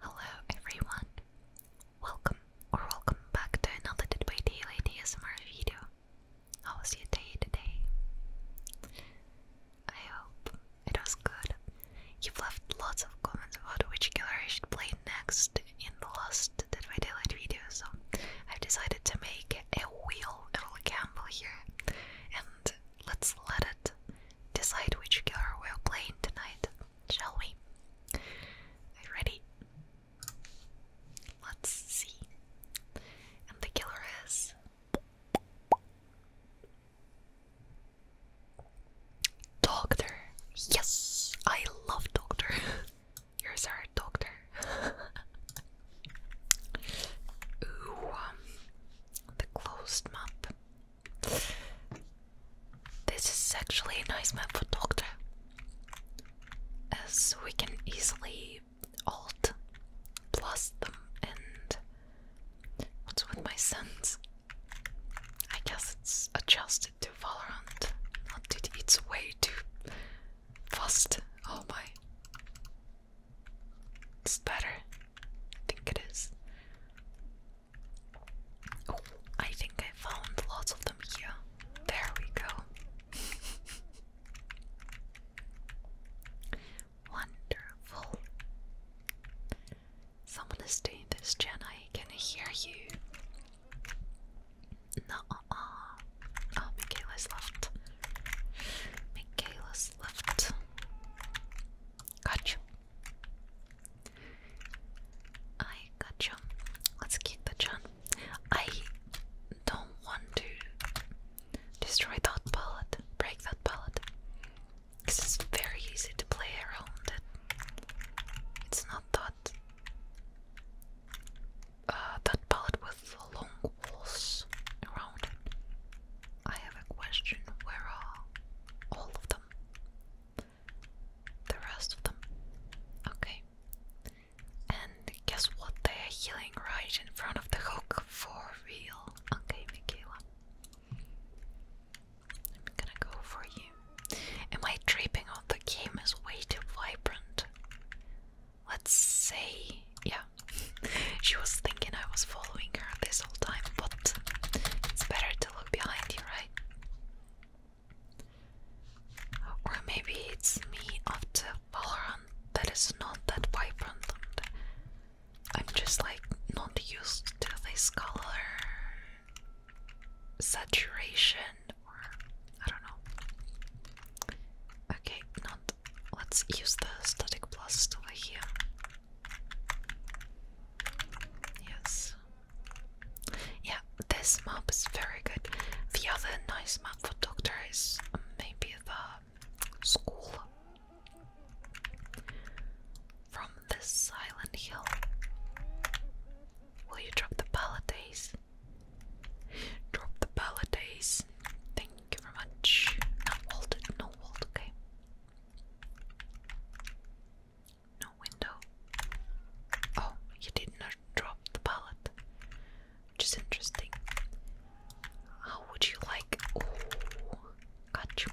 Hello everyone! Welcome or welcome back to another Did by Daylight ASMR video. How was your day today? I hope it was good. You've left lots of comments about which killer I should play next in the last Dead by Daylight video, so I've decided to make a wheel, a little gamble here, and let's let it decide which killer we will play tonight shall we? ready? Let's see. And the killer is Doctor. Yes, I love Doctor. Here's our Doctor. Ooh, um, the closed map. This is actually a nice map for Doctor, as we can easily alt plus them and what's with my sense? I guess it's adjusted to Valorant, not to its way too fast. Oh my. It's better. I think it is. Oh, I think I found lots of them here. There we go. Wonderful. Someone is doing this, Jen. I can hear you. No, uh, uh. Oh, left. Michaela's left. Gotcha. I gotcha. Let's kick the Chan. I don't want to destroy that pallet, break that pallet. Because it's very easy to play around it. It's not that uh, that pallet with long walls around it. I have a question. Where are all of them? The rest of them. Okay. And guess what? They are healing right in front of the hook for real. Okay, Michaela. I'm gonna go for you. Am I tripping on the game is way too vibrant? Let's see. yeah. she was thinking I was following her this whole time, but it's better look behind you, right? Or maybe it's me after Valorant that is not that vibrant I'm just like not used to this color saturation or I don't know. Okay, not let's use the static plus over here. Yes. Yeah, this map is very good. The other nice map for Doctor is maybe the school from this silent hill. Will you drop the paladays? Drop the paladays. Thank you very much. No hold, no hold, okay. No window. Oh, you did not drop the pallet, which is interesting. How would you like? Oh, got you.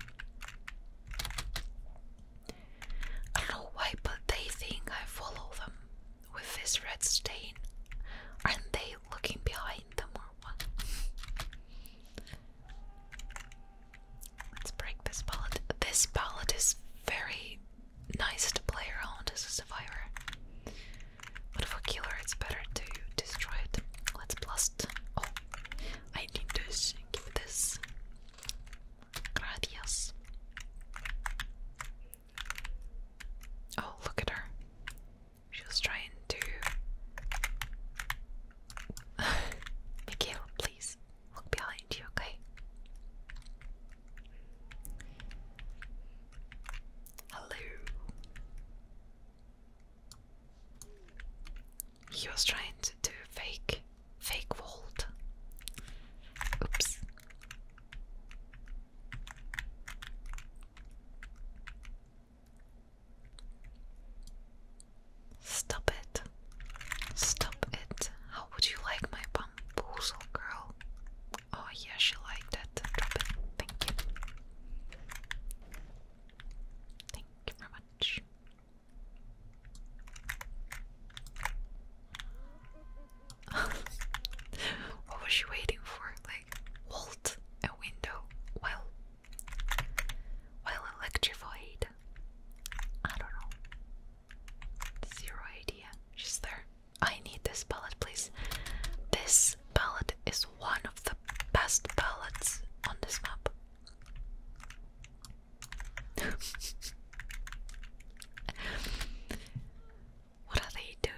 I don't know why, but they think I follow them with this red stain. Aren't they looking behind them or what? Let's break this pallet. This pallet is very nice to play around as a survivor. But if we for killer, it's better to destroy it. Let's blast. Oh, I need this. Give this. Gracias. Oh, look at her. She was trying to Mikhail, please look behind you, okay? Hello. He was trying to do fake, fake vault. Oops. Stop it. Stop it. How would you like my bamboozle girl? Oh yeah, she liked it. Drop it. Thank you. Thank you very much. what was she waiting for? Like, vault a window. Well, while electrified, I don't know. Zero idea. She's there. I need this palette, please. This palette is one of the best palettes on this map. what are they doing?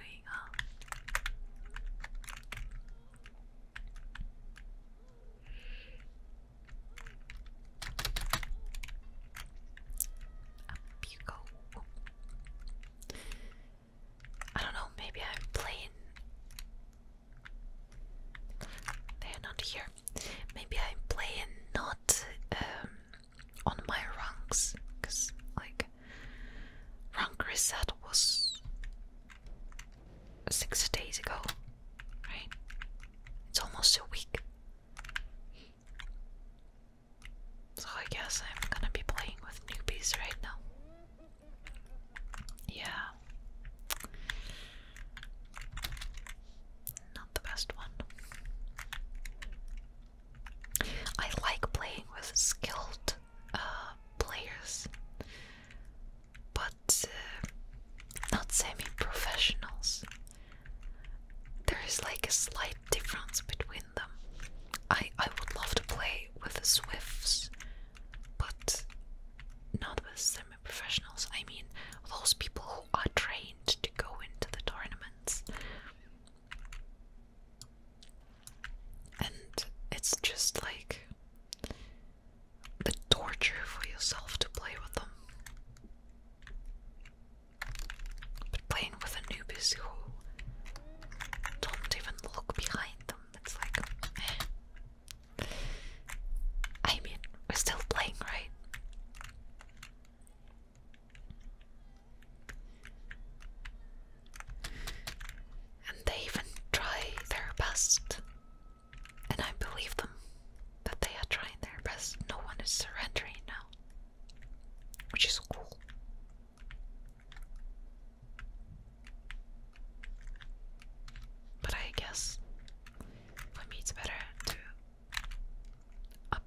Up you I don't know, maybe I'm playing. They're not here. Maybe I'm playing not um, on my ranks, because, like, rank reset was six days ago, right? It's almost a week. So I guess I'm gonna be playing with newbies right now. Yeah. Not the best one. I like playing with skilled uh, players but uh, not semi-professionals. There is like a slight difference between them. I I would love to play with the Swifts, but not with semi-professionals. I mean those people who are trained to go into the tournaments. And it's just like the torture for yourself to play with them. But playing with a who don't even look behind them, it's like. Eh. I mean, we're still playing, right? And they even try their best and I believe them that they are trying their best. No one is surrendering now, which is cool. But I guess for me it's better to a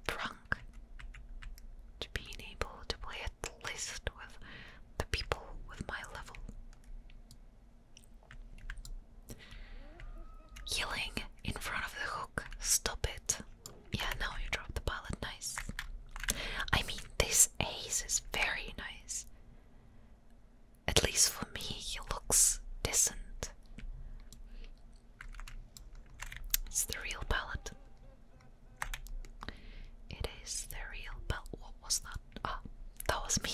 to being able to play at least with the people with my level. Healing in front of the hook. Stop it. Yeah, now you drop the pallet. Nice. I mean, this ace is very nice. At least for me, he looks decent. It's the real pallet. It is the real pallet. What was that? Ah, that was me.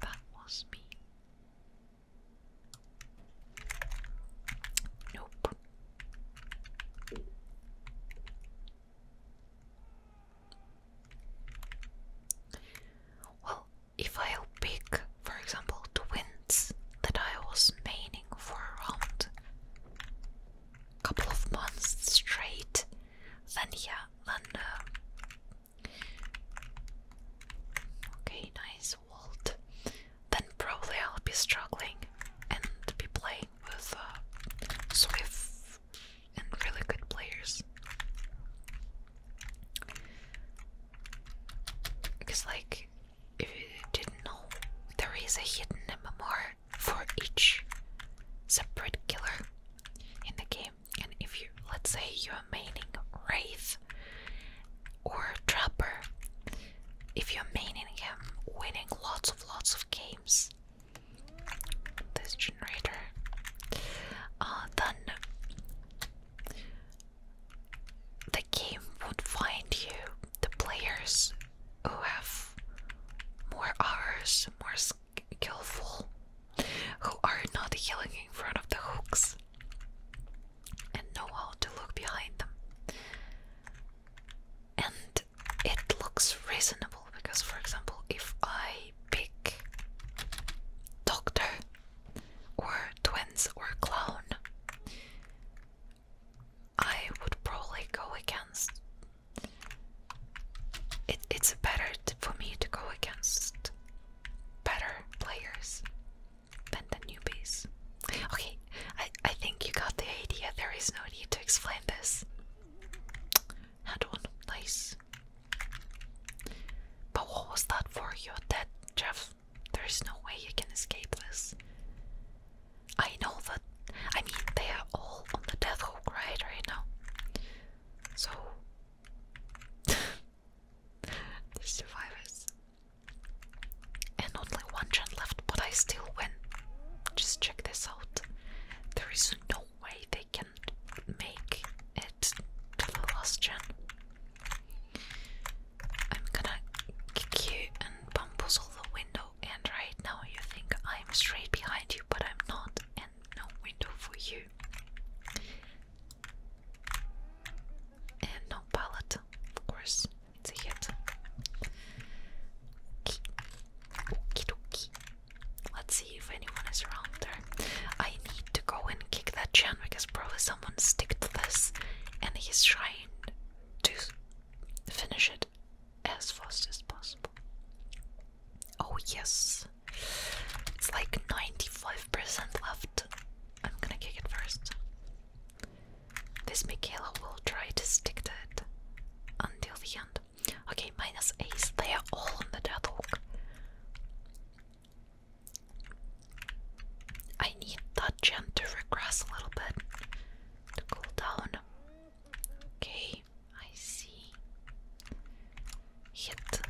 That was me. Nope. Well, if i pick, for example, the that I was maining for around a couple of months straight, then yeah, then uh, okay, nice Walt. Then probably I'll be struggling and be playing with uh, Swift and really good players. Because, like, if you didn't know, there is a hidden MMR for each separate killer in the game. And if you, let's say, you're maining Wraith or a Trapper, if you're maining him, winning lots of lots of games, this generator, uh, then the game would find you the players who have more hours, more skillful who are not yelling in front of the hooks and know how to look behind them. And it looks reasonable because, for example, if I pick doctor or twins or clown, I would probably go against it's better for me to go against better players than the newbies. Okay, I, I think you got the idea. There is no need to explain this. Had one, nice. But what was that for? You're dead, Jeff. There is no way you can escape this. I know that. I mean, they are all on the death hook right right now. So the survivors. And only one gen left, but I still win. Just check this out. There is no way they can make it to the last gen. I'm gonna kick you and bamboozle the window, and right now you think I'm straight behind you, but I'm not, and no window for you. And no palette, of course, it's a hit. Okie dokie. Let's see if anyone is around there. I need to go and kick that gen because probably someone sticked to this and he's trying to finish it as fast as possible. Oh, yes. It's like 95% left. I'm gonna kick it first. This Michaela will try to stick to it until the end. Okay, minus ace. They are all on the deadlock. I need that gem to regress a little bit to cool down. Okay, I see. Hit.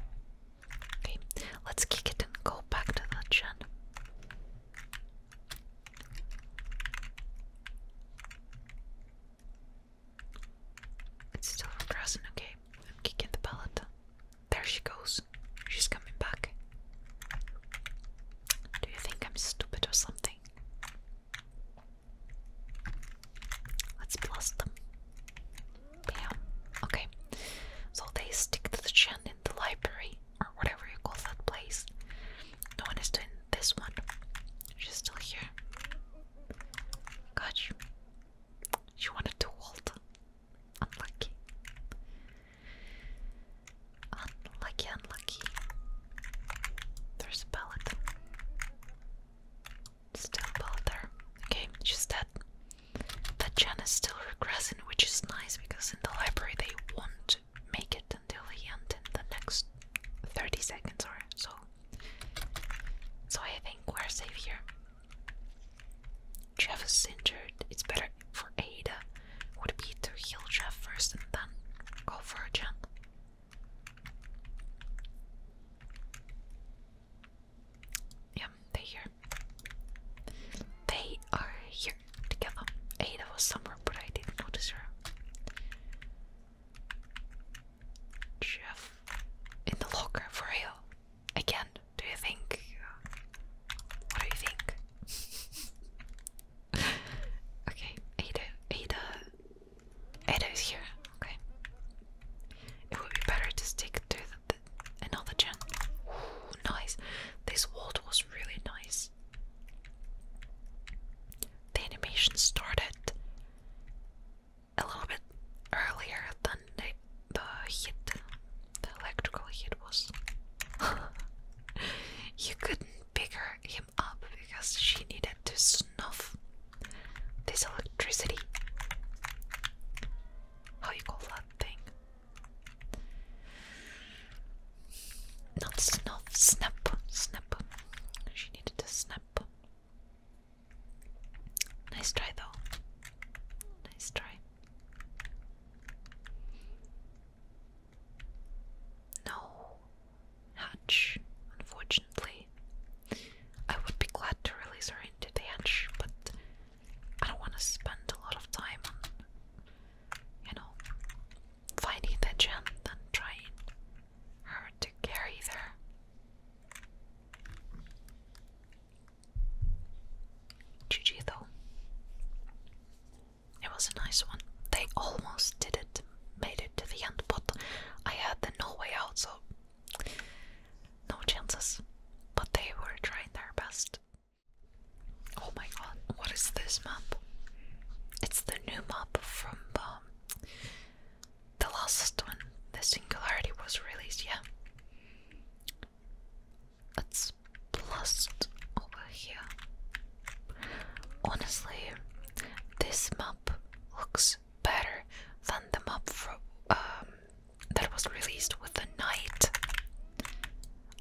Okay, let's kick it and go back to that gen. It's still regressing, okay. I'm kicking the pellet. There she goes. She's coming back. Do you think I'm stupid or something? Let's blast them. Bam. Okay. So they stick to the gen in the library, or whatever you call that place. No one is doing this one. She's still here. God, She wanted to hold. Unlucky. Unlucky, unlucky. There's a pallet. Still bother. Okay, just that that Jan is still regressing, which is nice because in the library they won't make it until the end in the next 30 seconds or so. So I think we're safe here. Jeff is injured. It's better for Ada would be to heal Jeff first and then go for Jan. Yeah, they here. They are here together. Ada was somewhere, but I didn't notice her. Jeff in the locker for real. Again, do you think? What do you think? okay, Ada, Ada it is here. Okay. It would be better to stick to another gen. nice. This world was really nice. The animation started a little bit earlier than the, hit. The electrical hit was. you couldn't pick her, him up because she needed to snuff this electricity. How you call that thing? Not snuff, snap, snap. She needed to snap. Nice try though. Nice try. No, hatch, unfortunately. I would be glad to release her into the hatch, but I don't want to spend a lot of time on, you know, finding the gen and trying her to carry there. GG though. It was a nice one. They almost did it made it to the end, but I had no way out, so no chances. But they were trying their best. Oh my god, what is this map? It's the new map from um, the last one. The Singularity was released, yeah. Let's blast over here. Honestly, this map looks better than the map from, um, that was released with the night.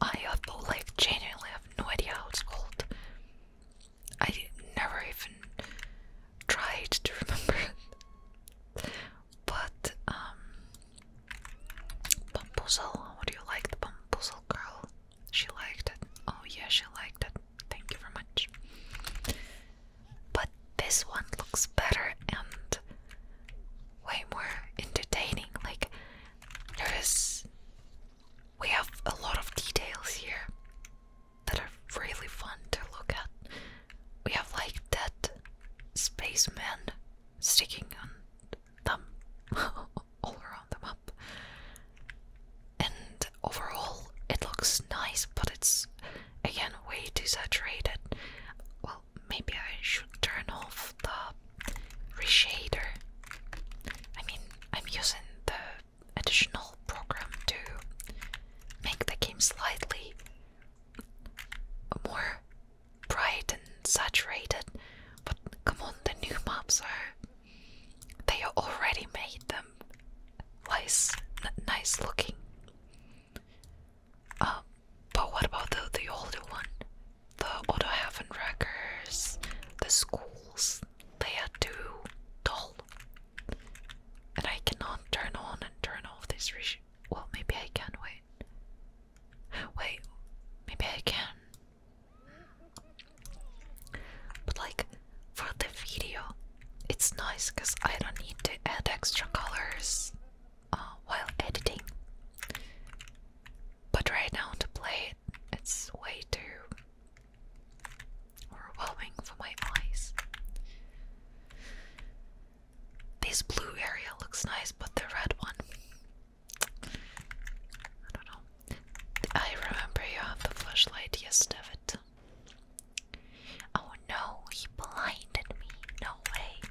I although like genuinely have no idea how it's called. I never even tried to remember But um Bumpuzzle, how do you like the Bumpuzzle girl? She liked it. Oh yeah, she liked it. Thank you very much but this one looks better and way more entertaining. Like, there is. We have a lot of details here that are really fun to look at. We have like that spaceman sticking on them all around the map and overall it looks nice, but it's again way too saturated. Well, maybe I should turn off the reshader. I mean, I'm using the additional program to make the game slightly more bright and saturated. But come on, the new maps are. They already made them nice, um, nice looking. Um, but what about the the older one? The older heaven records, the schools, they are too dull. And I cannot turn on and turn off this region. well maybe I can wait. Wait, maybe I can. But like for the video. It's nice because I don't need to add extra colors uh, while editing. But right now to play it, it's way too overwhelming for my eyes. This blue area looks nice, but the red one. I don't know. I remember you have the flashlight, yes, David. Oh no, he blinded me. No way.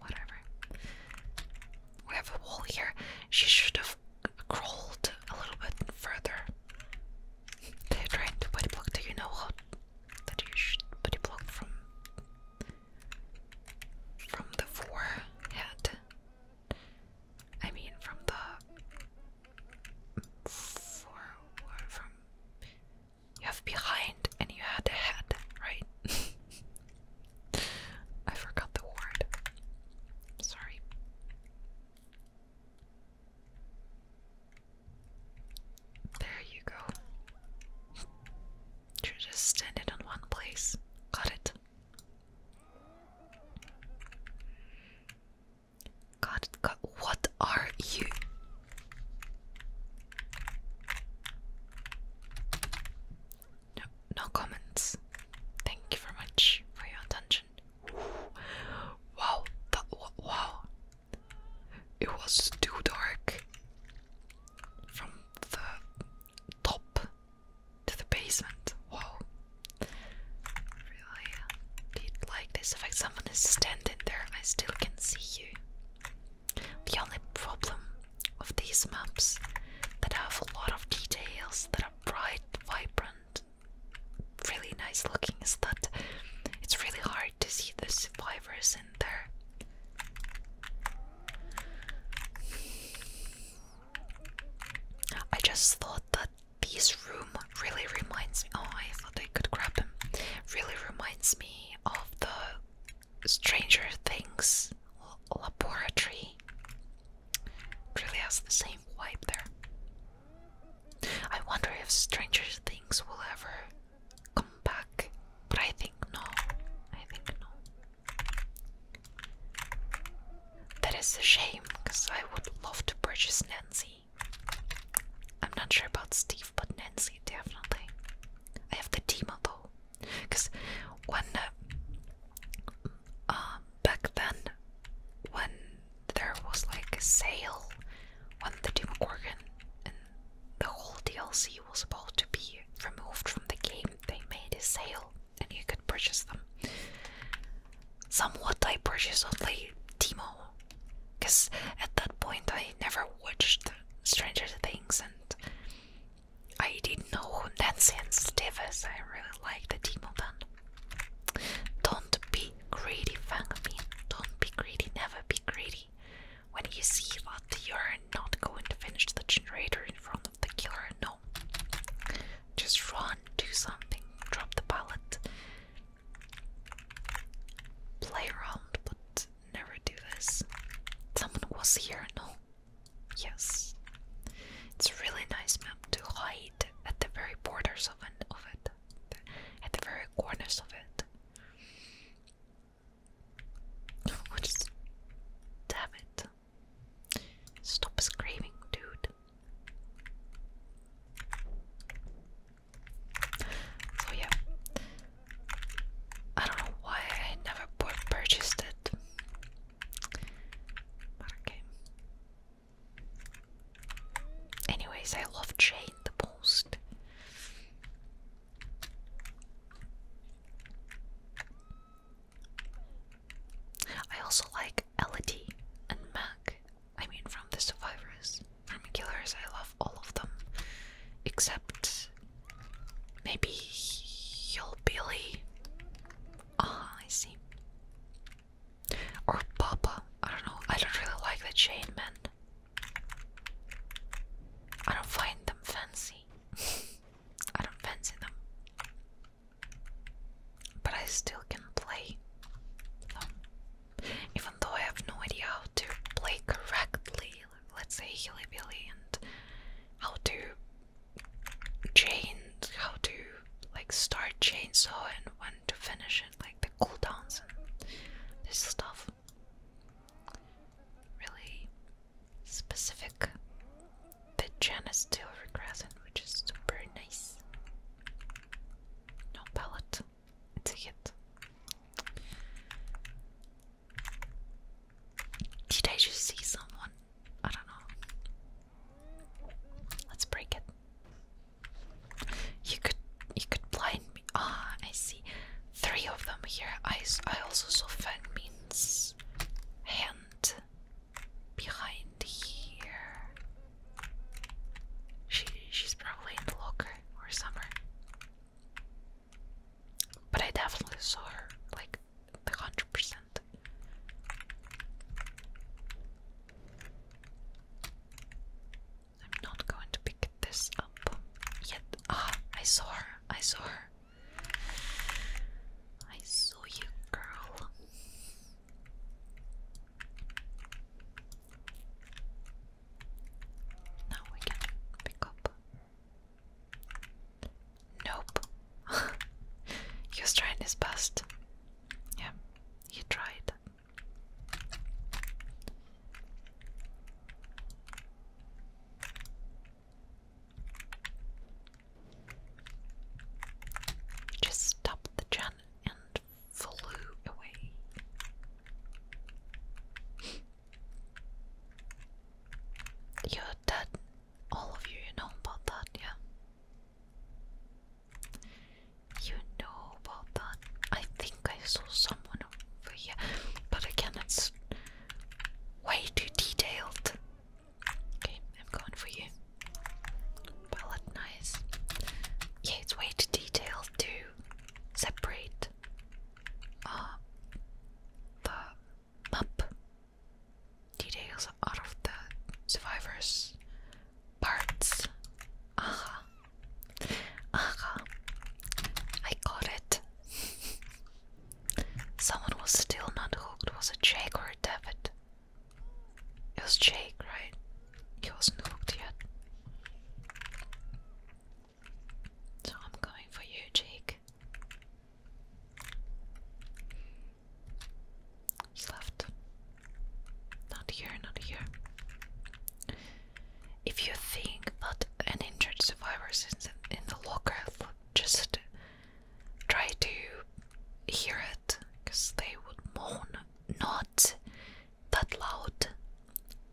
Whatever. We have a wall here. She should have crawled a little bit further. They're trying to body block. Do you know how that you should body block from from the forehead? I mean, from the forward, from you have behind and you had ahead, right? I forgot the word. Sorry. There you go. You're just standing in one place. Got it. God, God, what are you? No, no comments. Thank you very much for your attention. Wow, that wow. It was too dark from the top to the basement. Whoa. Really did like this effect. Someone is standing there, I still can see you. The only problem of these maps that have a lot of details that are bright, vibrant, really nice looking is that it's really hard to see the survivors in there. I just thought that this room really reminds me. Oh, I thought I could grab them. Really reminds me of the Stranger Things laboratory. It really has the same vibe there. I wonder if Stranger Things will ever come back, but I think no. I think no. That is a shame, because I would love to purchase Nancy. I'm not sure about Steve, but Nancy definitely. I have the Dima though, because when uh, um, back then, when there was like a sale, when the Demogorgon and the whole DLC was about to be removed from the game, they made a sale and you could purchase them. Somewhat I purchased only Timo, because at that point I never watched Stranger Things and I didn't know that Nancy and Steve I really liked the Timo then. Don't be greedy, Fangmin. Don't be greedy, never be greedy. When you see what you're not going to finish the generator in front the killer. No. Just run, do something, drop the pallet. Play around, but never do this. Someone was here, no? Yes. It's really nice map to hide at the very borders of, it, at the very corners of it. damn it. Stop screaming, dude. So yeah, I don't know why I never purchased it. okay. Anyways, I love Jane the most. I also like Elodie and Mac. I mean, from The Survivors, from the Killers, I love all of them. Except maybe Hill Billy. Ah, I see. Or Papa. I don't know. I don't really like the chain men. I don't find them fancy. I don't fancy them. But I still can play Even though I have no idea how to play correctly, let's say hillybilly, and how to chain, how to like start chainsaw and when to finish it, like the cooldowns and this stuff. Really specific the Jan is still regressing, which is super nice. No pallet, it's Did I just see someone? I don't know. Let's break it. You could you could blind me. Ah, I see. Three of them here. I I also saw Fang means hand behind here. She she's probably in the locker or somewhere. But I definitely saw her, like the hundred percent. I'm not going to pick this up yet. Ah, I saw her. I saw her. I saw you, girl. Now we can pick up. Nope. Your strain is best. Yeah, you tried. Just stopped the gun and flew away. You're dead, all of you. You know about that, yeah. You know about that. I think I saw someone over here, but again, it's way too detailed. Okay, I'm going for you. Palette nice. Yeah, it's way too detailed to separate uh, the map details out of the survivors' parts. Aha. Uh-huh. Aha. Uh-huh. I got it. Someone was still not hooked. Was it Jake or David? It was Jake, right? He wasn't hooked yet. So I'm going for you, Jake. He's left. Not here, not here. If you think that an injured survivor in the locker, just try to hear it because they would moan not that loud,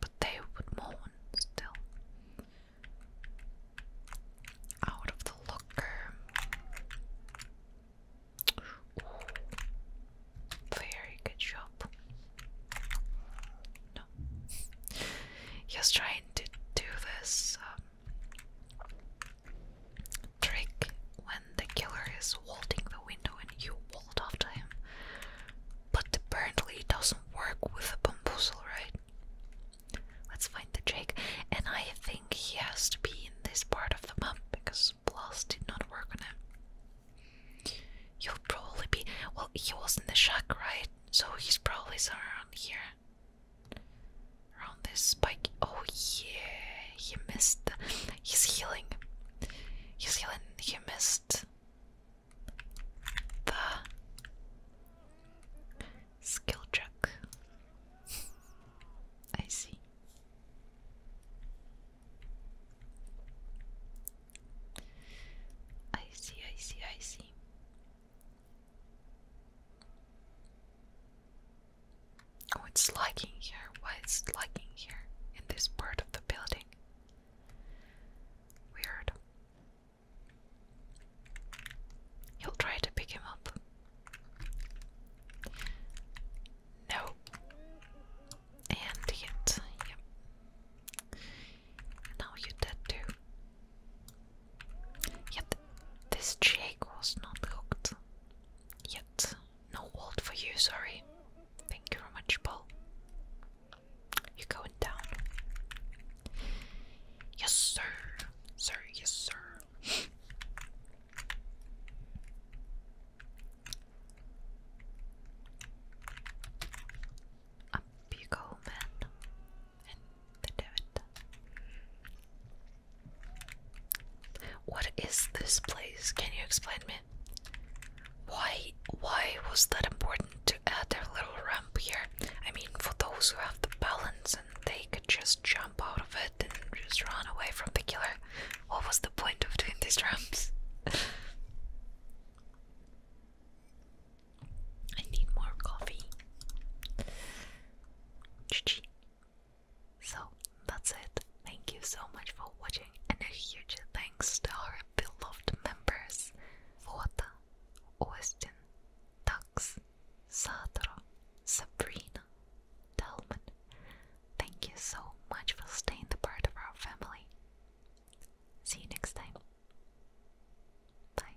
but they would moan still. Out of the locker. very good job. No, he's trying to do this um, trick when the killer is vaulting the window and you vault after him. But apparently it doesn't work with a bamboozle, right? Let's find the Jake. And I think he has to be in this part of the map because Blast did not work on him. He'll probably be well he was in the shack, right? So he's probably somewhere around here. Around this spike. Oh yeah, he missed. The, he's healing. He's healing. He missed the skill check. I see. I see, I see, I see. Oh, it's lagging here. Why is it lagging here in this part of the building? Weird. He'll try to pick him up. No. And hit. Yep. Now you dead too. Yet this jig was not hooked. Yet no walt for you, sorry. Thank you very much, Paul. You're going down. Yes, sir. Sir, yes, sir. Up you go, man. What is this place? Can you explain me? Why why was that important to add their little ramp here? I mean for those who have the balance and they could just jump out of it and just run away from the killer. What was the point of doing these ramps? I need more coffee. So that's it. Thank you so much for watching and a huge thanks to our beloved members Vota, Austin, Tux, Sadra, Sabrina, Dalman. Thank you so much for staying the part of our family. See you next time. Bye.